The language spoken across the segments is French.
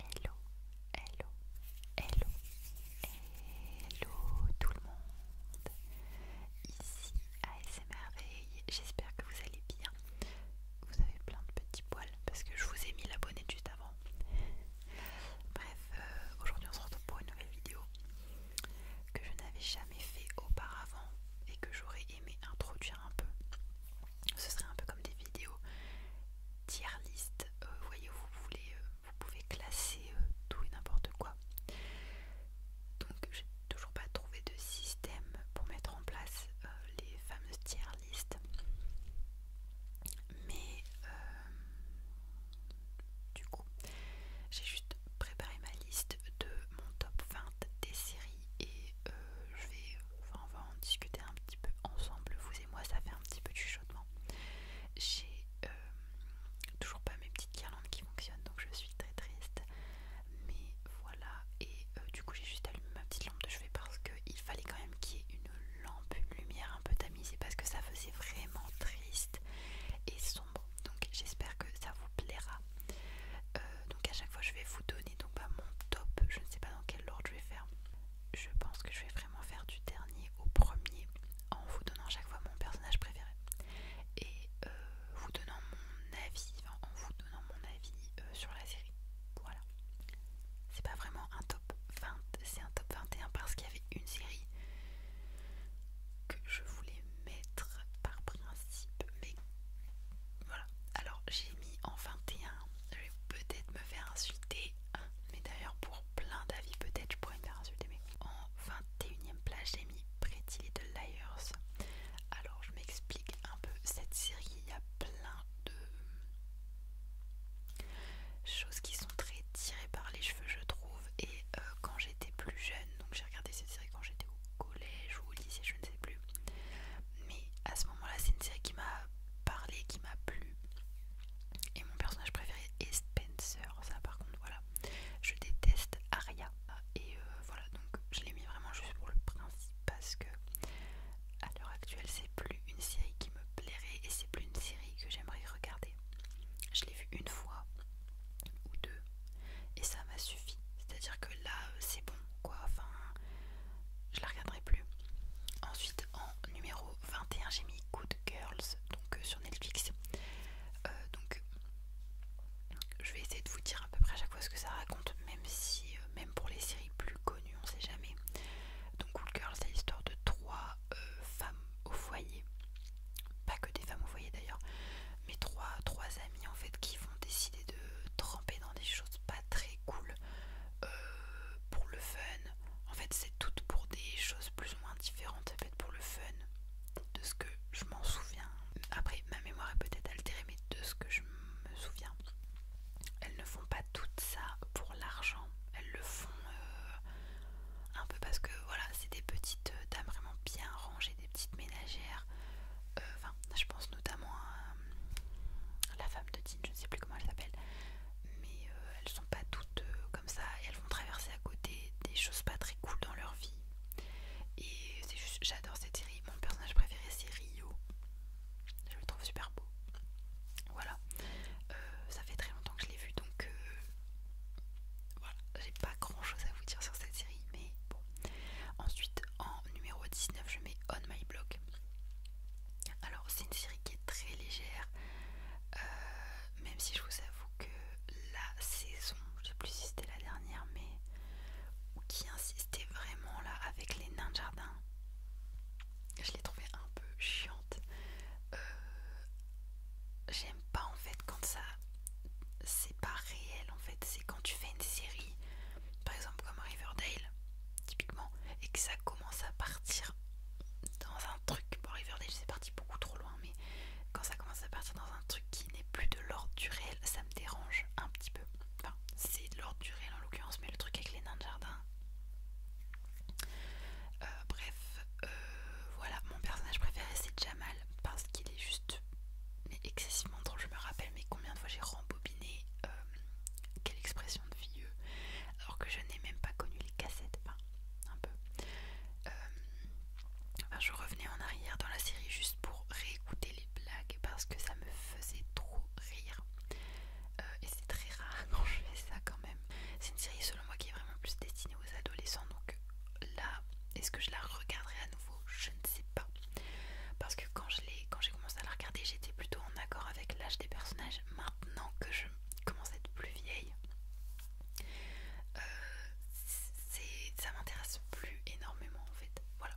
Hello, hello, hello, hello tout le monde. Ici ASMRveille, j'espère que vous allez bien. Vous avez plein de petits poils parce que je vous ai mis la juste avant. Bref, euh, aujourd'hui on se retrouve pour une nouvelle vidéo que je n'avais jamais fait auparavant et que j'aurais aimé introduire un peu ce serait un peu comme des vidéos tier list. Euh, voyez, vous voulez, euh, vous pouvez classer euh, tout et n'importe quoi. Donc, j'ai toujours pas trouvé de système pour mettre en place les fameuses tier list. Mais du coup, j'ai juste préparé ma liste de mon top 20 des séries et euh, je vais, on va en discuter un petit peu ensemble, vous et moi, ça fait un petit peu du chuchotement. J'ai euh, toujours pas mes petites guirlandes qui fonctionnent, donc je suis très triste. Mais voilà, et euh, du coup j'ai juste allumé ma petite lampe de chevet parce qu'il fallait quand même qu'il y ait une lampe, une lumière un peu tamisée parce que ça faisait vraiment triste et sombre. Donc j'espère que ça vous plaira. donc à chaque fois je vais vous donner donc pas mon top. Je ne sais pas dans quel ordre je vais faire. Je pense que je vais vraiment faire du dernier au premier en vous donnant chaque fois mon personnage préféré et euh, vous donnant mon avis, en vous donnant mon avis euh, sur la série. Voilà. C'est pas vraiment un top 20, c'est un top 21 parce qu'il y avait une série que je voulais mettre par principe, mais voilà. Alors j'ai mis en 21 je vais peut-être me faire insulter, hein. mais d'ailleurs pour plein d'avis peut-être je pourrais me faire insulter, mais en 21ème place j'ai mis Pretty Little Liars. Alors je m'explique un peu, cette série il y a plein de choses qui sont très tirées par les cheveux je trouve, et euh, quand j'étais plus jeune, donc j'ai regardé cette série quand j'étais au collège ou au lycée, je ne sais plus. Mais à ce moment-là, c'est une série qui m'a parlé, qui m'a plu. Et mon personnage préféré est Spencer. Ça, par contre, voilà. Je déteste Arya. Et euh, voilà, donc je l'ai mis vraiment juste pour le principe parce que à l'heure actuelle, c'est plus une série qui me plairait et c'est plus une série que j'aimerais regarder. Je l'ai vu une fois ou deux et ça m'a suffi. C'est-à-dire que là, euh, c'est bon, quoi. Enfin, je la regarderai plus. Ensuite, en numéro 21, j'ai mis Good Girls, donc euh, sur Netflix. Euh, donc, je vais essayer de vous dire à peu près à chaque fois ce que ça raconte, même si, euh, même pour les séries plus connues, on sait jamais. Donc, Good Girls, c'est l'histoire de trois femmes au foyer, pas que des femmes au foyer d'ailleurs, mais trois, trois amies en fait qui vont décider de tremper dans des choses pas très cool euh, pour le fun. En fait, c'est toutes pour des choses plus ou moins différentes, ça fait pour le fun, de ce que je m'en souviens. Après, ma mémoire est peut-être altérée, mais de ce que je me souviens, elles ne font pas tout ça pour l'argent. Elles le font euh, un peu parce que voilà, c'est des petites euh, dames vraiment bien rangées, des petites ménagères euh, enfin, je pense notamment à, euh, la femme de Dean, je ne sais plus comment elle s'appelle, mais euh, elles sont pas toutes comme ça et elles vont traverser à côté des choses pas très cool dans leur vie. Et c'est juste, j'adore cette série. Mon personnage préféré c'est Rio, je le trouve super beau. Voilà, ça fait très longtemps que je l'ai vu donc voilà, j'ai pas grand chose à vous dire sur cette série, mais bon, Ensuite, en numéro 19, je mets On My Block. Alors, c'est une série qui est très légère, euh, même si je vous avoue que la saison, je sais plus si c'était la dernière, mais qui insistait vraiment là avec les nains de jardin, je l'ai trouvée un peu chiante. Euh, j'aime pas en fait quand ça c'est pas réel en fait, c'est quand tu fais une série par exemple comme Riverdale, typiquement, et que ça commence à partir dans un truc. Bon, Riverdale, c'est parti beaucoup trop loin, mais quand ça commence à partir dans un truc qui n'est plus de l'ordre du réel, ça me dérange un petit peu. Enfin, c'est de l'ordre du réel en l'occurrence, mais le truc avec les nains de jardin. Euh, bref, euh, voilà, mon personnage préféré c'est Jamal parce qu'il est juste mais excessivement drôle. Je me rappelle, mais combien de fois j'ai rembobiné euh, quelle expression de vieux, alors que je n'ai même pas connu les cassettes, enfin un peu. Euh, je revenais en arrière dans la série juste pour réécouter les blagues parce que ça me faisait trop rire. Euh, et c'est très rare quand je fais ça quand même. C'est une série selon moi qui est vraiment plus destinée aux adolescents, donc là, est-ce que je la regarderai à nouveau Je ne sais pas. Parce que quand j'ai commencé à la regarder, j'étais plutôt en accord avec l'âge des personnages. Maintenant que je commence à être plus vieille, euh, ça m'intéresse plus énormément en fait. Voilà.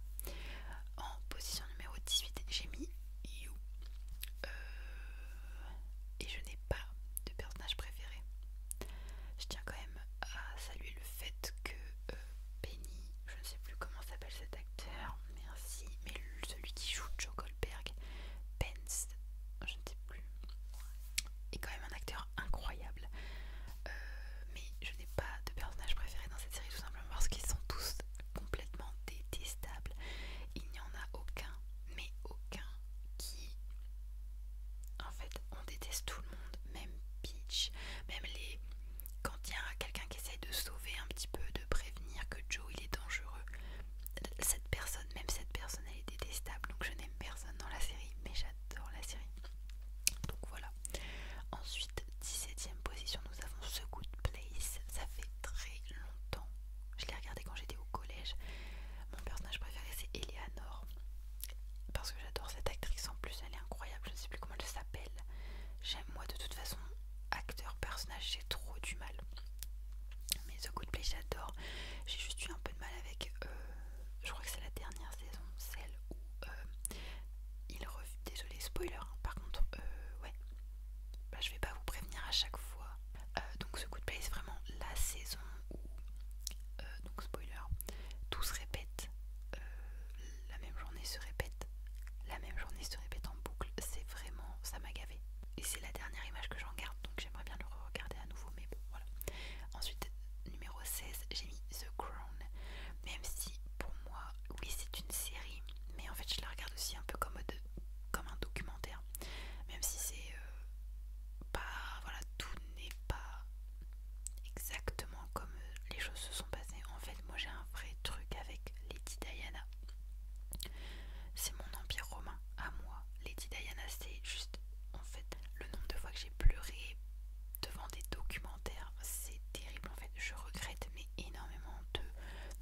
En position numéro 18, j'ai mis You. Euh, et je n'ai pas de personnage préféré. Je tiens quand même à saluer le fait que euh, Penny je ne sais plus comment s'appelle cet acteur, merci, mais celui qui joue Joe Goldberg, Pence, je ne sais plus, est quand même un acteur incroyable. Euh, mais je n'ai pas de personnage préféré dans cette série tout simplement parce qu'ils sont tous complètement détestables. Il n'y en a aucun, mais aucun qui... En fait, on déteste tout le monde, même Peach, même les quand il y a quelqu'un qui essaye de sauver un petit peu, de prévenir que Joe il est dangereux, cette personne, même cette personne elle est détestable, donc je n'aime personne dans la série, mais j'adore la série. Donc voilà. Ensuite, 17ème position, nous avons The Good Place. Ça fait très longtemps. Je l'ai regardé quand j'étais au collège. Mon personnage préféré c'est Eleanor. Parce que j'adore cette actrice en plus, elle est incroyable, je ne sais plus comment elle s'appelle. J'aime moi de toute façon acteur, personnage, j'ai trop du mal. Mais The Good Place j'adore. J'ai juste eu un peu de mal avec euh, je crois que c'est la dernière saison, celle où euh, il revient. Désolé spoiler, hein, par contre, euh, ouais. Bah, je vais pas vous prévenir à chaque fois. donc The Good Place vraiment la saison où donc spoiler, tout se répète la même journée se répète, la même journée se répète en boucle, c'est vraiment, ça m'a gavé. Et c'est la dernière image que j'en garde, donc j'aimerais bien le regarder à nouveau, mais bon, voilà. Ensuite, numéro 16, j'ai mis The Crown, même si pour moi, oui, c'est une série, mais en fait, je la regarde aussi un peu comme, comme un documentaire, même si c'est euh, pas, voilà, tout n'est pas exactement comme euh, les choses se sont passées. En fait, moi j'ai un vrai truc avec Lady Diana. C'est mon empire romain à moi. Lady Diana, c'est juste en fait le nombre de fois que j'ai pleuré devant des documentaires, c'est terrible en fait. Je regrette mais énormément de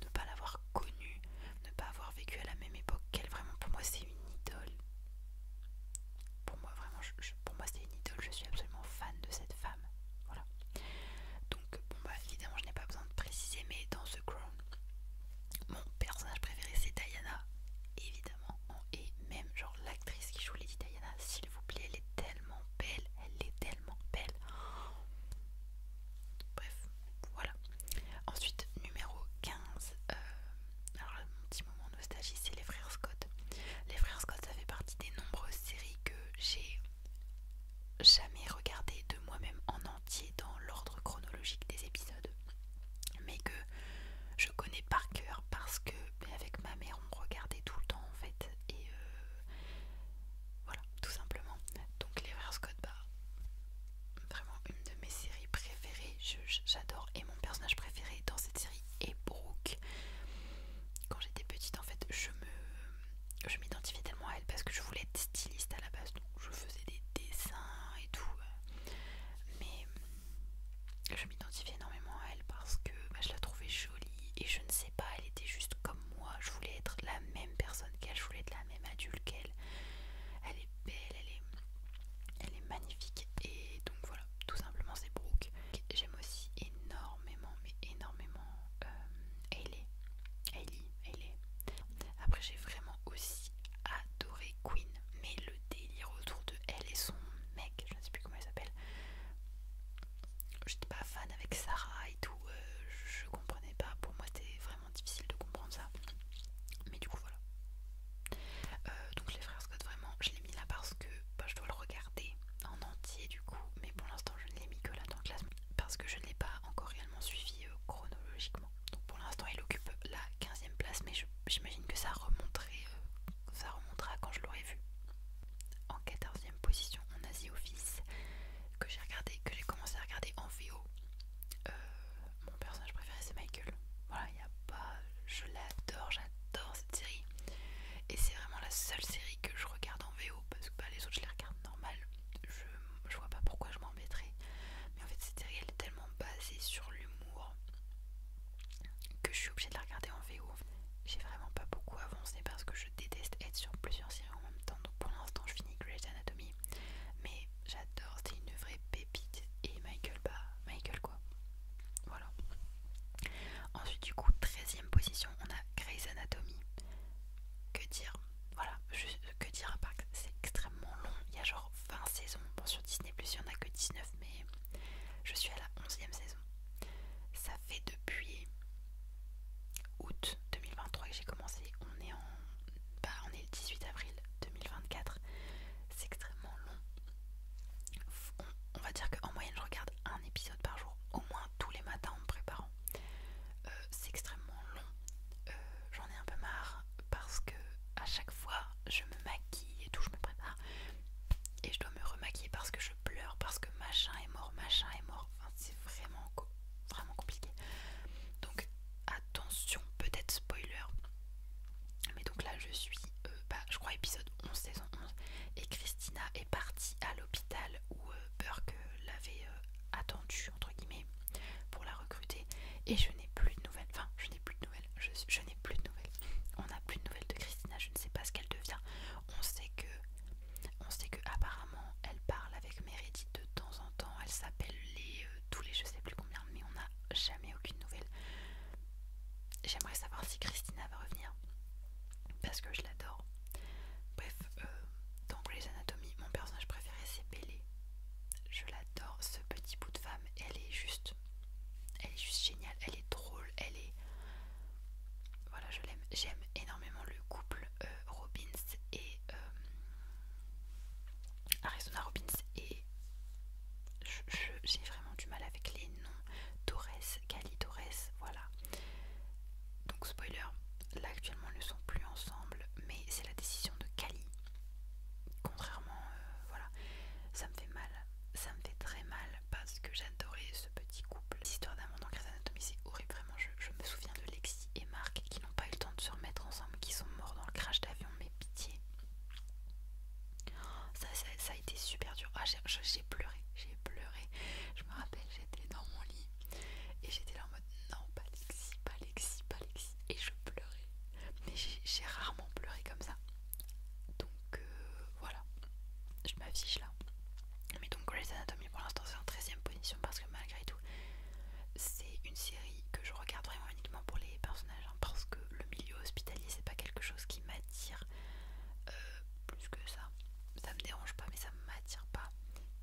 ne pas l'avoir connue, ne pas avoir vécu à la même époque qu'elle. Vraiment, pour moi, c'est une idole. Pour moi, vraiment, je, pour moi c'est une idole, je suis absolument fan de cette femme. Voilà. Donc bon bah évidemment je n'ai pas besoin de préciser mais dans ce Crown, mon personnage préféré c'est Diana, évidemment. Et même genre l'actrice qui joue Lady Diana, s'il vous plaît, elle est tellement belle, elle est tellement belle. Bref, voilà. Ensuite, numéro 15. Euh, alors, mon petit moment nostalgie, c'est les frères Scott. Les frères Scott, ça fait partie des nombreuses séries que j'ai jamais regardé de moi-même en entier dans l'ordre chronologique des épisodes, mais que je connais par cœur parce que avec ma mère on regardait tout le temps en fait et euh, voilà tout simplement. Donc les rares Scott, bar, vraiment une de mes séries préférées, j'adore et mon personnage préféré dans cette série est Brooke quand j'étais petite en fait je me je m'identifiais tellement à elle parce que je voulais être styliste à la base donc je faisais des dessins et tout euh. mais je m'identifiais énormément à elle parce que bah, je la trouvais jolie et je ne sais pas elle était juste comme moi je voulais être la même personne qu'elle je voulais être la même adulte qu'elle elle est belle elle est elle est magnifique et donc voilà tout simplement c'est Brooke J'aime aussi énormément, mais énormément euh, Hailey. Hailey, Hailey. Après, j'ai vraiment aussi adoré Queen, mais le délire autour de elle et son mec, je ne sais plus comment elle s'appelle. J'étais pas fan avec Sarah et tout, euh, je comprenais pas. Pour moi, c'était vraiment difficile de comprendre ça. Mais du coup, voilà. Euh, donc, les frères Scott, vraiment, je l'ai mis là par que bah, je dois le regarder en entier du coup, mais pour l'instant je ne l'ai mis que là dans le classement parce que je ne l'ai pas encore réellement suivi euh, chronologiquement. Donc pour l'instant il occupe la 15ème place, mais j'imagine que ça remonterait, euh, ça remontera quand je l'aurai vu. En 14ème position, on a Office que j'ai regardé, que j'ai commencé à regarder en VO. Euh, mon personnage préféré c'est Michael. Voilà, il n'y a pas, je l'adore, j'adore série. Et c'est vraiment la seule série que je regarde en VO parce que bah, les autres je les regarde normal. Je, je vois pas pourquoi je m'embêterais. Mais en fait, cette série elle est tellement basée sur l'humour que je suis obligée de la regarder en VO. J'ai vraiment pas beaucoup avancé parce que je déteste être sur plusieurs séries en même temps. Donc pour l'instant, je finis Grey's Anatomy. Mais j'adore, c'est une vraie pépite. Et Michael, bah, Michael quoi. Voilà. Ensuite, du coup, 13 e position, on a Grey's Anatomy. Que dire Voilà, que dire à part c'est extrêmement long. Il y a genre 20 saisons. Bon, sur Disney, il n'y en a que 19, mais je suis à la 11ème saison. Ça fait depuis août 2023 que j'ai commencé. On est en. Bah, on est le 18 avril 2024. C'est extrêmement long on va dire qu'en moyenne je regarde un épisode par jour, au moins tous les matins en me préparant. Euh, c'est extrêmement long, euh, j'en ai un peu marre parce que à chaque fois je me maquille et tout, je me prépare et je dois me remaquiller parce que je pleure, parce que machin est mort, machin est mort. c'est vraiment, vraiment compliqué. Donc attention, peut-être spoiler, mais donc là je suis euh, bah, je crois épisode 11, saison 11, et Christina est partie à l'hôpital où euh, Burke l'avait euh, attendue, entre guillemets, pour la recruter, et je n'ai plus de nouvelles, enfin, je n'ai plus de nouvelles, je, n'ai plus de nouvelles, on n'a plus de nouvelles de Christina, je ne sais pas ce qu'elle devient, on sait que, on sait que apparemment elle parle avec Meredith de temps en temps, elle s'appelle les, tous les je sais plus combien, mais on n'a jamais aucune nouvelle J'aimerais savoir si Christina va revenir parce que je l'adore. Bref, euh, dans Grey's Anatomy, mon personnage préféré c'est Belle. Je l'adore, ce petit bout de femme, elle est juste. Elle est juste géniale, elle est drôle, elle est. Voilà, je l'aime. J'aime énormément le couple euh, Robbins et. Euh, Arizona Robbins et. J'ai vraiment du mal avec les noms. Torres Cali Torres, voilà. Donc spoiler, là actuellement ils ne sont plus ensemble, mais c'est la décision de Cali. Contrairement, euh, voilà, ça me fait mal, ça me fait très mal parce que j'adorais ce petit couple. L'histoire monde en crise Anatomy c'est horrible, vraiment, je, je me souviens de Lexi et Marc qui n'ont pas eu le temps de se remettre ensemble, qui sont morts dans le crash d'avion, mais pitié. Ça, ça, a été super dur. Ah, j'ai pleuré, j'ai pleuré. Je me rappelle, j'étais dans mon lit et j'étais là en mode non, pas Lexi, pas Lexi, pas Lexi. Et je pleurais. Mais j'ai rarement pleuré comme ça. Donc euh, voilà, je m'affiche là. Mais donc Grey's Anatomy pour l'instant c'est en 13ème position parce que malgré tout c'est une série que je regarde vraiment uniquement pour les personnages hein, parce que le milieu hospitalier c'est pas quelque chose qui m'attire euh, plus que ça. Ça me dérange pas, mais ça m'attire pas.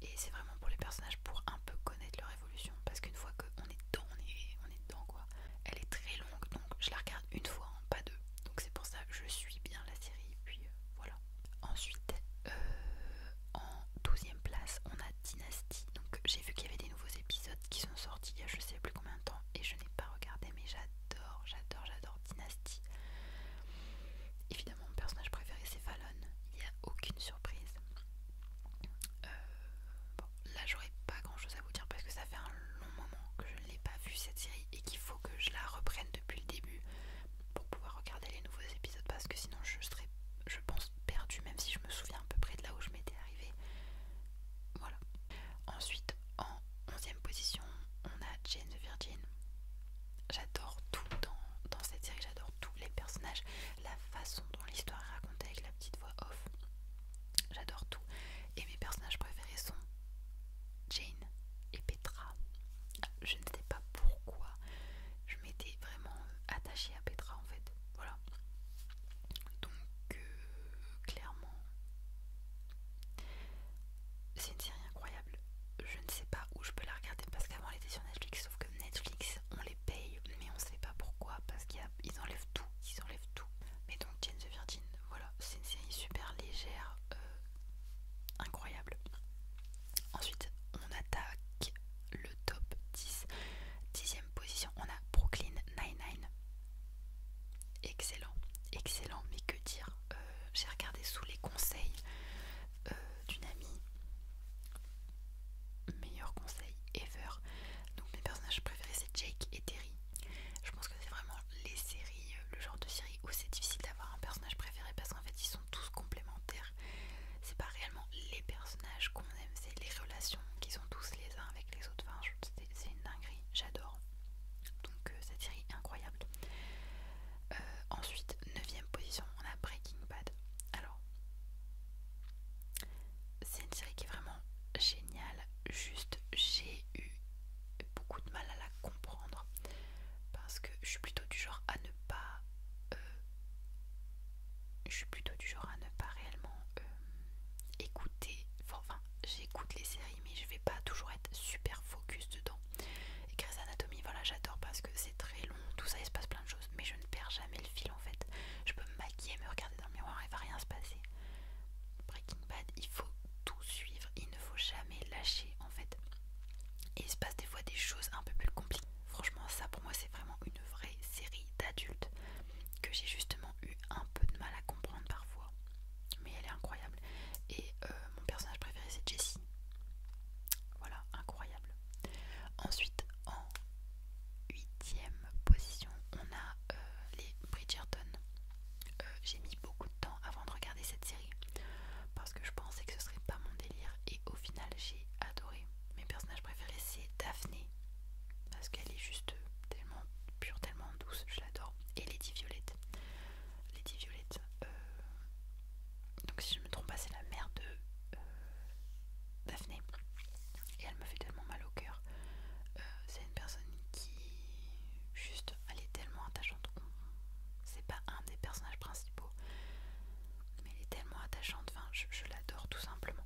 Et c'est vraiment pour les personnages pour un peu connaître leur évolution. Parce qu'une fois qu'on est dedans, on est, on est dedans quoi. Elle est très longue, donc je la regarde une fois, hein, pas deux. Donc c'est pour ça que je suis bien la série. puis euh, voilà. Ensuite, euh, en 12ème place, on a Dynastie Donc j'ai vu qu'il y avait des nouveaux épisodes qui sont sortis il y a je sais plus combien de temps. Et je n'ai pas regardé, mais j'adore j'adore, j'adore, j'adore Dynasty. Évidemment, mon personnage préféré c'est Fallon, il n'y a aucune surprise. Euh, bon, là j'aurais pas grand chose à vous dire parce que ça fait un long moment que je ne l'ai pas vu cette série et qu'il faut que je la reprenne depuis le début pour pouvoir regarder les nouveaux épisodes parce que sinon je serais, je pense, perdue, même si je me souviens à peu près de là où je m'étais arrivée. Voilà. Ensuite, en 11 position, on a Jane the Virgin. J'adore tout dans, cette série, j'adore tous les personnages, la façon dont l'histoire est racontée avec la petite voix off. J'adore tout. Et mes personnages préférés sont Jane et Petra. Je ne sais pas pourquoi. Je m'étais vraiment attachée à Petra en fait. Voilà. Donc euh, clairement, c'est une série incroyable. Je ne sais pas où je peux la regarder parce qu'avant elle était sur Netflix, sauf que Netflix on les paye, mais on ne sait pas pourquoi parce qu'ils enlèvent tout, ils enlèvent tout. Mais donc Jane the Virgin, voilà, c'est une série super légère, euh, incroyable. Ensuite, on attaque le top 10. Dixième position, on a Brooklyn nine Excellent, excellent, mais que dire euh, J'ai regardé sous les conseils euh, d'une amie. Meilleur conseil ever. Donc mes personnages préférés c'est Jake et Terry. Je pense que c'est vraiment les séries, euh, le genre de série où c'est difficile d'avoir un personnage préféré parce qu'en fait ils sont tous complémentaires. C'est pas réellement les personnages qu'on aime, c'est les relations qu'ils ont tous les uns avec les autres c'est une dinguerie, j'adore. Donc euh, cette série incroyable. Euh, ensuite, 9 position, on a Breaking Bad. Alors, c'est une série qui est vraiment géniale. Juste, j'ai eu beaucoup de mal à la comprendre. Parce que je suis plutôt du genre à ne pas... Euh, je suis plutôt du genre à ne pas réellement écouter. Enfin, j'écoute les séries mais je vais pas toujours être super focus dedans et Grey's Anatomy voilà j'adore parce que c'est très long tout ça il se passe plein de choses mais je ne perds jamais le fil en fait je peux me maquiller me regarder dans le miroir et va rien se passer Breaking Bad il faut tout suivre il ne faut jamais lâcher en fait et il se passe des fois des choses un peu plus compliquées franchement ça pour moi c'est vraiment une vraie série d'adultes que j'ai justement eu un peu de mal à comprendre parfois, mais elle est incroyable. Et euh, mon personnage préféré c'est Jessie. Voilà, incroyable. Ensuite, en huitième position, on a euh, les Bridgerton. Euh, j'ai mis beaucoup de temps avant de regarder cette série parce que je pensais que ce serait pas mon délire et au final j'ai adoré. Mes personnages préférés c'est Daphné parce qu'elle est juste tellement pure, tellement douce, je l'adore. Et Lady Violette. Lady Violette, euh, donc si je ne me trompe pas, c'est la mère de euh, Daphné. Et elle me fait tellement mal au cœur. Euh, c'est une personne qui, juste, elle est tellement attachante. C'est pas un des personnages principaux, mais elle est tellement attachante. Enfin, je l'adore tout simplement.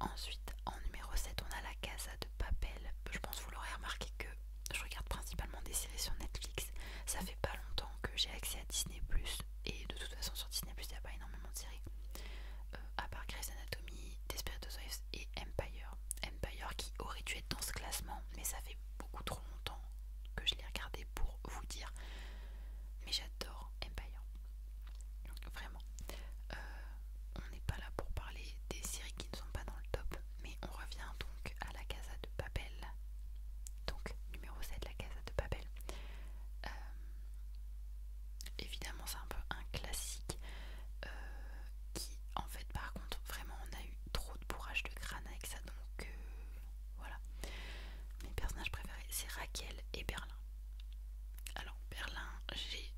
Ensuite, en numéro 7, on a la Casa de Papel. Je pense que vous l'aurez remarqué que je regarde principalement des séries sur Netflix. Ça fait pas longtemps que j'ai accès à Disney et de toute façon sur Disney il n'y a pas énormément de séries. Euh, à part Grey's Anatomy, Desperate et Empire. Empire qui aurait dû être dans ce classement, mais ça fait beaucoup trop longtemps que je l'ai regardé pour vous dire. Mais j'adore Empire. Vraiment. Euh, on n'est pas là pour parler des séries qui ne sont pas dans le top, mais on revient donc à la Casa de Babel Donc numéro 7, la Casa de Babel euh, évidemment c'est un peu un classique euh, qui en fait par contre vraiment on a eu trop de bourrage de crâne avec ça donc euh, voilà. Mes personnages préférés c'est Raquel et Berlin. Alors Berlin j'ai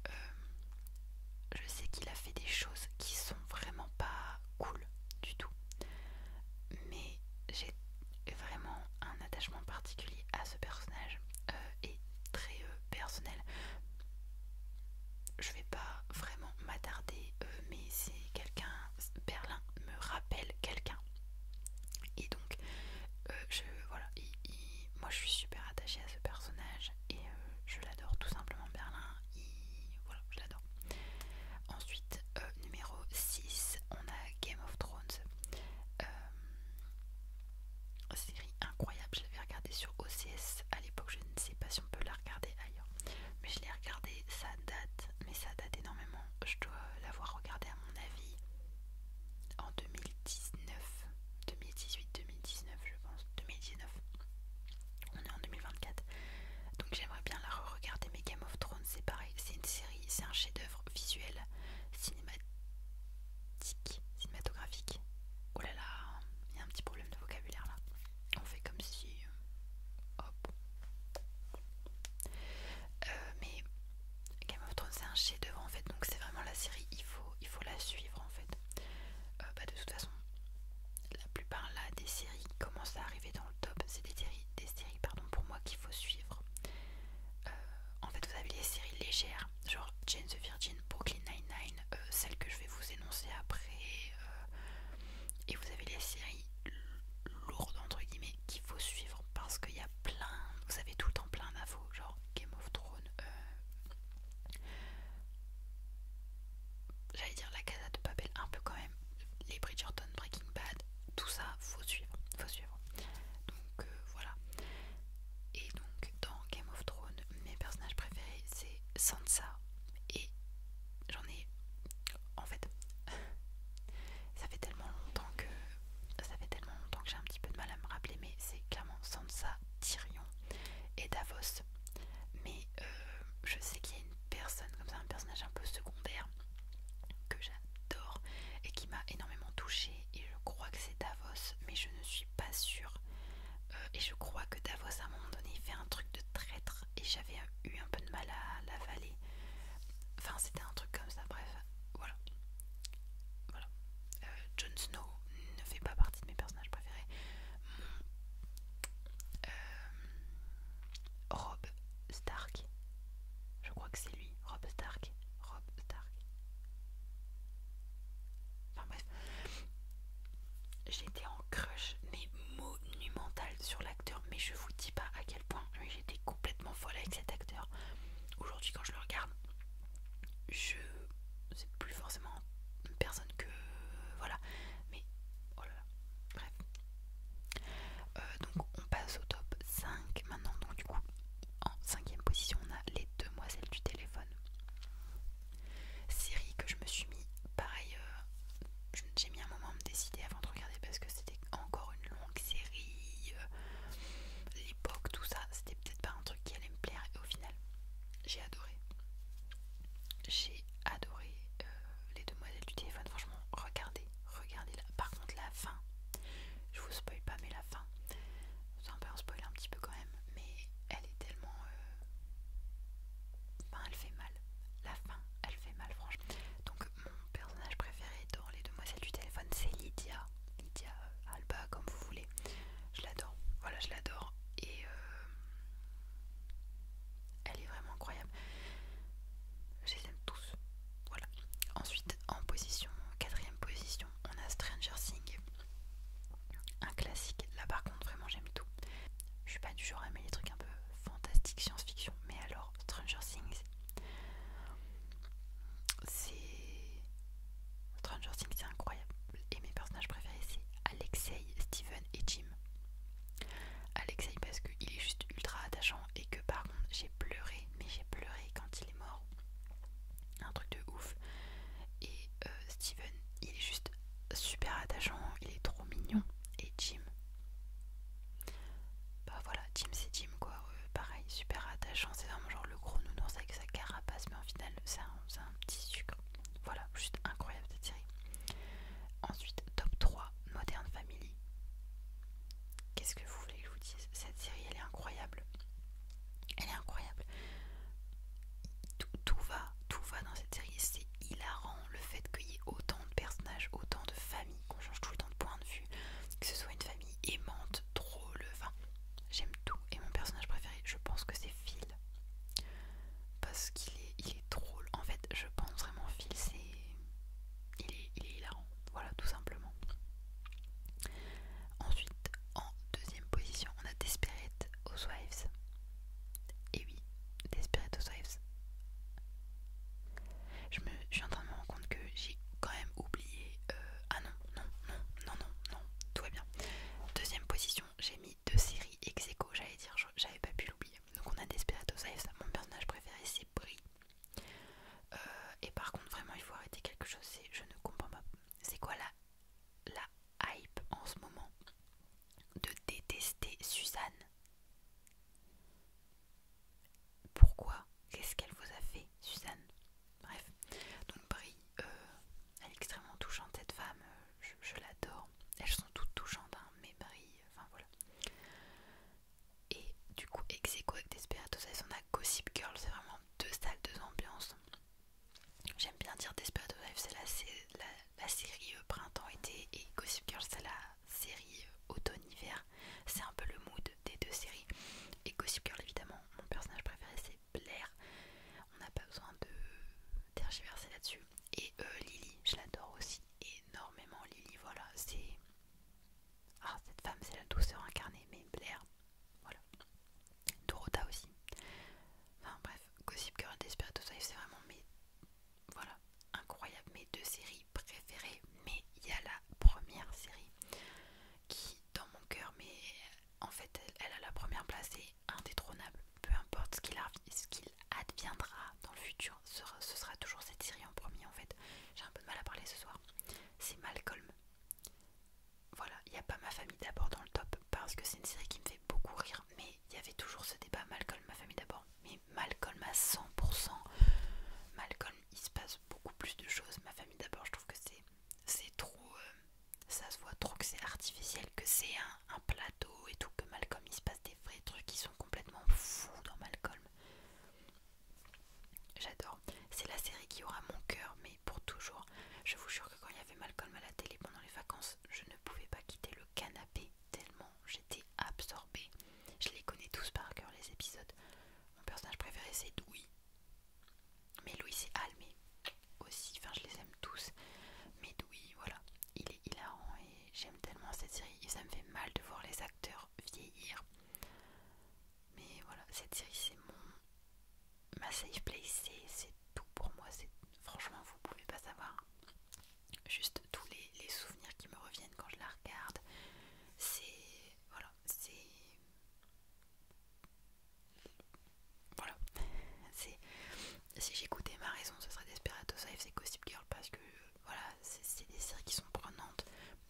je sais qu'il a fait des choses qui sont vraiment pas cool du tout. Mais j'ai vraiment un attachement particulier à ce personnage euh, et très euh, personnel. Je vais pas vraiment m'attarder, euh, mais c'est quelqu'un, Berlin me rappelle quelqu'un. Et donc, je, voilà, moi je suis super attachée à ce personnage et euh, je l'adore tout simplement Berlin, et voilà, je l'adore. Ensuite, euh, numéro 6, on a Game of Thrones, euh, série incroyable, je l'avais regardé sur OCS à l'époque, je ne sais pas si on peut la regarder ailleurs, mais je l'ai regardé, ça date, mais ça date énormément, je dois l'avoir regardé à mon avis en 2000. 2019, 2018, 2019 je pense, 2019, on est en 2024, donc j'aimerais bien la re regarder mais Game of Thrones c'est pareil, c'est une série, c'est un chef d'œuvre visuel, cinématique, cinématographique, oh là là, il y a un petit problème de vocabulaire là, on fait comme si, euh, hop, euh, mais Game of Thrones c'est un chef d'œuvre en fait, donc c'est vraiment la série, il faut, il faut la suivre en fait. Euh, bah, de toute façon la plupart là des séries qui commencent à arriver dans le top c'est des séries, pardon, pour moi qu'il faut suivre euh, en fait vous avez les séries légères genre Jane the Virgin, Brooklyn Nine-Nine euh, celle que je vais vous énoncer après et vous avez les séries lourdes entre guillemets qu'il faut suivre parce qu'il y a plein vous avez tout le temps plein d'infos genre Game of Thrones J'allais dire la Casa de Babel un peu quand même. Les Bridgerton, Breaking Bad, tout ça, faut suivre, faut suivre. Donc euh, voilà. Et donc dans Game of Thrones, mes personnages préférés c'est Sansa et j'en ai en fait ça fait tellement longtemps que ça fait tellement longtemps que j'ai un petit peu de mal à me rappeler mais c'est clairement Sansa Tyrion et Davos. Mais euh, je sais qu'il y a une personne comme ça, un personnage un peu secondaire que j'adore et qui m'a énormément touchée et je crois que c'est Davos, mais je ne suis pas sûre. Euh, et je crois que Davos à un moment donné fait un truc de traître et j'avais eu un peu de mal à l'avaler. Enfin c'était un truc comme ça, bref, voilà. Voilà, euh, Jon Snow ne fait pas partie de mes personnages préférés. Euh, Rob Stark, je crois que c'est lui, Rob Stark, Rob Stark. Enfin bref, j'étais en crush, mais monumentale sur l'acteur, mais je vous dis pas à quel point j'étais complètement folle avec cet acteur. Aujourd'hui, quand je le regarde, je c'est plus forcément une personne que euh, voilà mais oh bref euh, donc on passe au top 5 maintenant donc du coup en cinquième position on a les demoiselles du téléphone série que je me suis mis pareil euh, j'ai mis un moment à me décider avant de regarder parce que c'était encore une longue série l'époque tout ça c'était peut-être pas un truc qui allait me plaire au final, j'ai adoré. J'ai adoré euh, les demoiselles du téléphone. Franchement, regardez, regardez-la. Par contre, la fin, je vous spoil pas, mais la fin, c'est un peu un spoil un petit peu quand même, mais elle est tellement. Euh, enfin, elle fait mal. La fin, elle fait mal, franchement. Donc, mon personnage préféré dans les demoiselles du téléphone, c'est Lydia. Lydia euh, Alba, comme vous voulez. Je l'adore, voilà, je l'adore. Et euh, elle est vraiment incroyable. Je les aime tous. Voilà. Ensuite, en position, quatrième position, on a Stranger Things. Un classique. Là par contre, vraiment j'aime tout. Je suis pas du genre à aimer les trucs un peu fantastiques, science-fiction. Mais alors, Stranger Things, c'est Stranger Things, c'est incroyable. Et mes personnages préférés, c'est Alexei, Steven et Jim. Alexei, parce qu'il est juste ultra attachant et que par contre, j'ai pleuré, mais j'ai pleuré quand il est mort. Un truc de ouf. Et euh, Steven, il est juste super attachant, il est trop mignon. Et Jim. Bah voilà, Jim c'est Jim quoi. Euh, pareil, super attachant. C'est vraiment genre le gros nounours avec sa carapace, mais en final, c'est un, petit sucre. Voilà, juste incroyable cette série. Ensuite, top 3, Modern Family. Qu'est-ce que vous voulez que je vous dise Cette série, elle est incroyable. Elle est incroyable. Tout, va, tout va dans cette série. C'est hilarant le fait qu'il y ait autant de personnages, autant de familles, qu'on change tout le temps de point de vue, que ce soit une famille aimante trop le vin. j'aime tout. Et mon personnage préféré, je pense que c'est Phil. Parce qu'il est, il est drôle. En fait, je pense vraiment Phil, c'est... Il est, il est hilarant. Voilà, tout simplement. Ensuite, en deuxième position, on a Desperate Housewives. Et oui, Desperate Housewives. Je, me, je suis en train de me rendre compte que j'ai quand même oublié. ah euh, non, non, non, non, non, tout va bien. Deuxième position, j'ai mis deux séries ex j'allais dire, j'avais pas pu l'oublier. Donc on a Desperados ça. mon personnage préféré c'est Brie. Euh, et par contre, vraiment, il faut arrêter quelque chose, c'est je ne comprends pas. C'est quoi la hype en ce moment de détester Suzanne Pourquoi Qu'est-ce qu'elle vous a fait, Suzanne Bref, donc Brie, euh, elle est extrêmement touchante cette femme, euh, je, l'adore. Elles sont toutes touchantes, hein, mais Brie, euh, enfin voilà. Et du coup, ex avec Desperados on a Gossip Girl, c'est vraiment deux salles, deux ambiances. J'aime bien dire Desperados Lives, c'est la, la série printemps-été, et Gossip Girl, c'est la série automne-hiver. C'est un peu le mood des deux séries. Et Gossip Girl, évidemment, mon personnage préféré c'est Blair. On n'a pas besoin de tergiverser là-dessus. Et euh, Lily, je l'adore aussi énormément. Lily, voilà, c'est. Ah, cette femme, c'est la douceur incarnée, mais Blair, voilà. Dorota aussi. Enfin bref, Gossip Girl, Desperate Housewives, c'est vraiment mes. Voilà, incroyable, mes deux séries préférées. Mais il y a la première série qui dans mon cœur, mais en fait, elle, a la première place et indétrônable. Peu importe ce qu'il adviendra dans le futur, ce sera toujours cette série en premier en fait. J'ai un peu de mal à parler ce soir. C'est Malcolm. Voilà, il n'y a pas ma famille d'abord dans le top parce que c'est une série qui me fait beaucoup rire, mais il y avait toujours ce débat Malcolm, ma famille d'abord. Mais Malcolm à 100%. Malcolm, il se passe beaucoup plus de choses. Ma famille d'abord, je trouve que c'est c'est trop. Euh, ça se voit trop que c'est artificiel, que c'est un, un plateau et tout, que Malcolm il se passe des vrais trucs qui sont complètement fous dans Malcolm. J'adore. C'est la série qui aura mon cœur, mais pour toujours. Je vous jure que quand il y avait Malcolm à la télé pendant les vacances, je ne pouvais pas quitter le canapé tellement j'étais absorbée. Je les connais tous par cœur les épisodes. Mon personnage préféré c'est Doui mais Louis et mais aussi, enfin je les aime tous. Mais Louis, voilà, il est hilarant et j'aime tellement cette série. ça me fait mal de voir les acteurs vieillir. Mais voilà, cette série c'est mon... Ma safe place, c'est tout pour moi. Franchement, vous pouvez pas savoir. Juste tous les, les souvenirs qui me reviennent quand je la regarde. C'est... Voilà, c'est... Voilà. Si j'écoutais ma raison, ce serait Desperate Housewives et Gossip Girl parce que voilà, c'est des séries qui sont prenantes.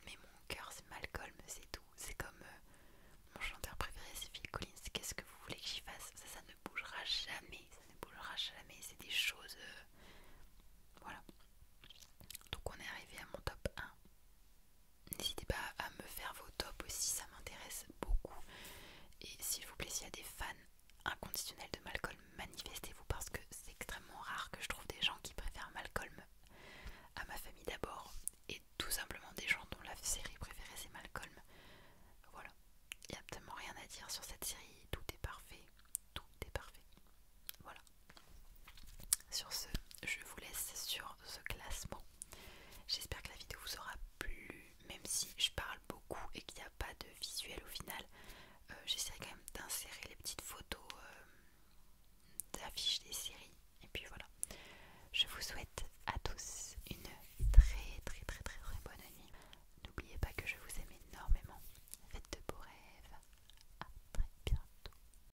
Mais mon cœur, c'est Malcolm, c'est tout. C'est comme euh, mon chanteur préféré, c'est Phil Collins. Qu'est-ce que vous voulez que j'y fasse ça, ça ne bougera jamais. Ça ne bougera jamais. C'est des choses. Euh, voilà. Donc on est arrivé à mon top 1. N'hésitez pas à me faire vos tops aussi, ça m'intéresse beaucoup. Et s'il vous plaît, s'il y a des fans inconditionnels de Malcolm, manifestez-vous parce que c'est extrêmement rare que je trouve des gens qui préfèrent Malcolm à ma famille d'abord. Et tout simplement des gens dont la série préférée c'est Malcolm. Voilà, il n'y a absolument rien à dire sur cette série, tout est parfait, tout est parfait. Voilà. Sur ce, je vous laisse sur ce classement. J'espère que la vidéo vous aura plu, même si je parle beaucoup et qu'il n'y a pas de visuel au final. Euh, j'essaierai quand même d'insérer les petites photos euh, d'affiches des séries. Et puis voilà. Je vous souhaite à tous une très très très très très bonne nuit. N'oubliez pas que je vous aime énormément. Faites de beaux rêves. À très bientôt.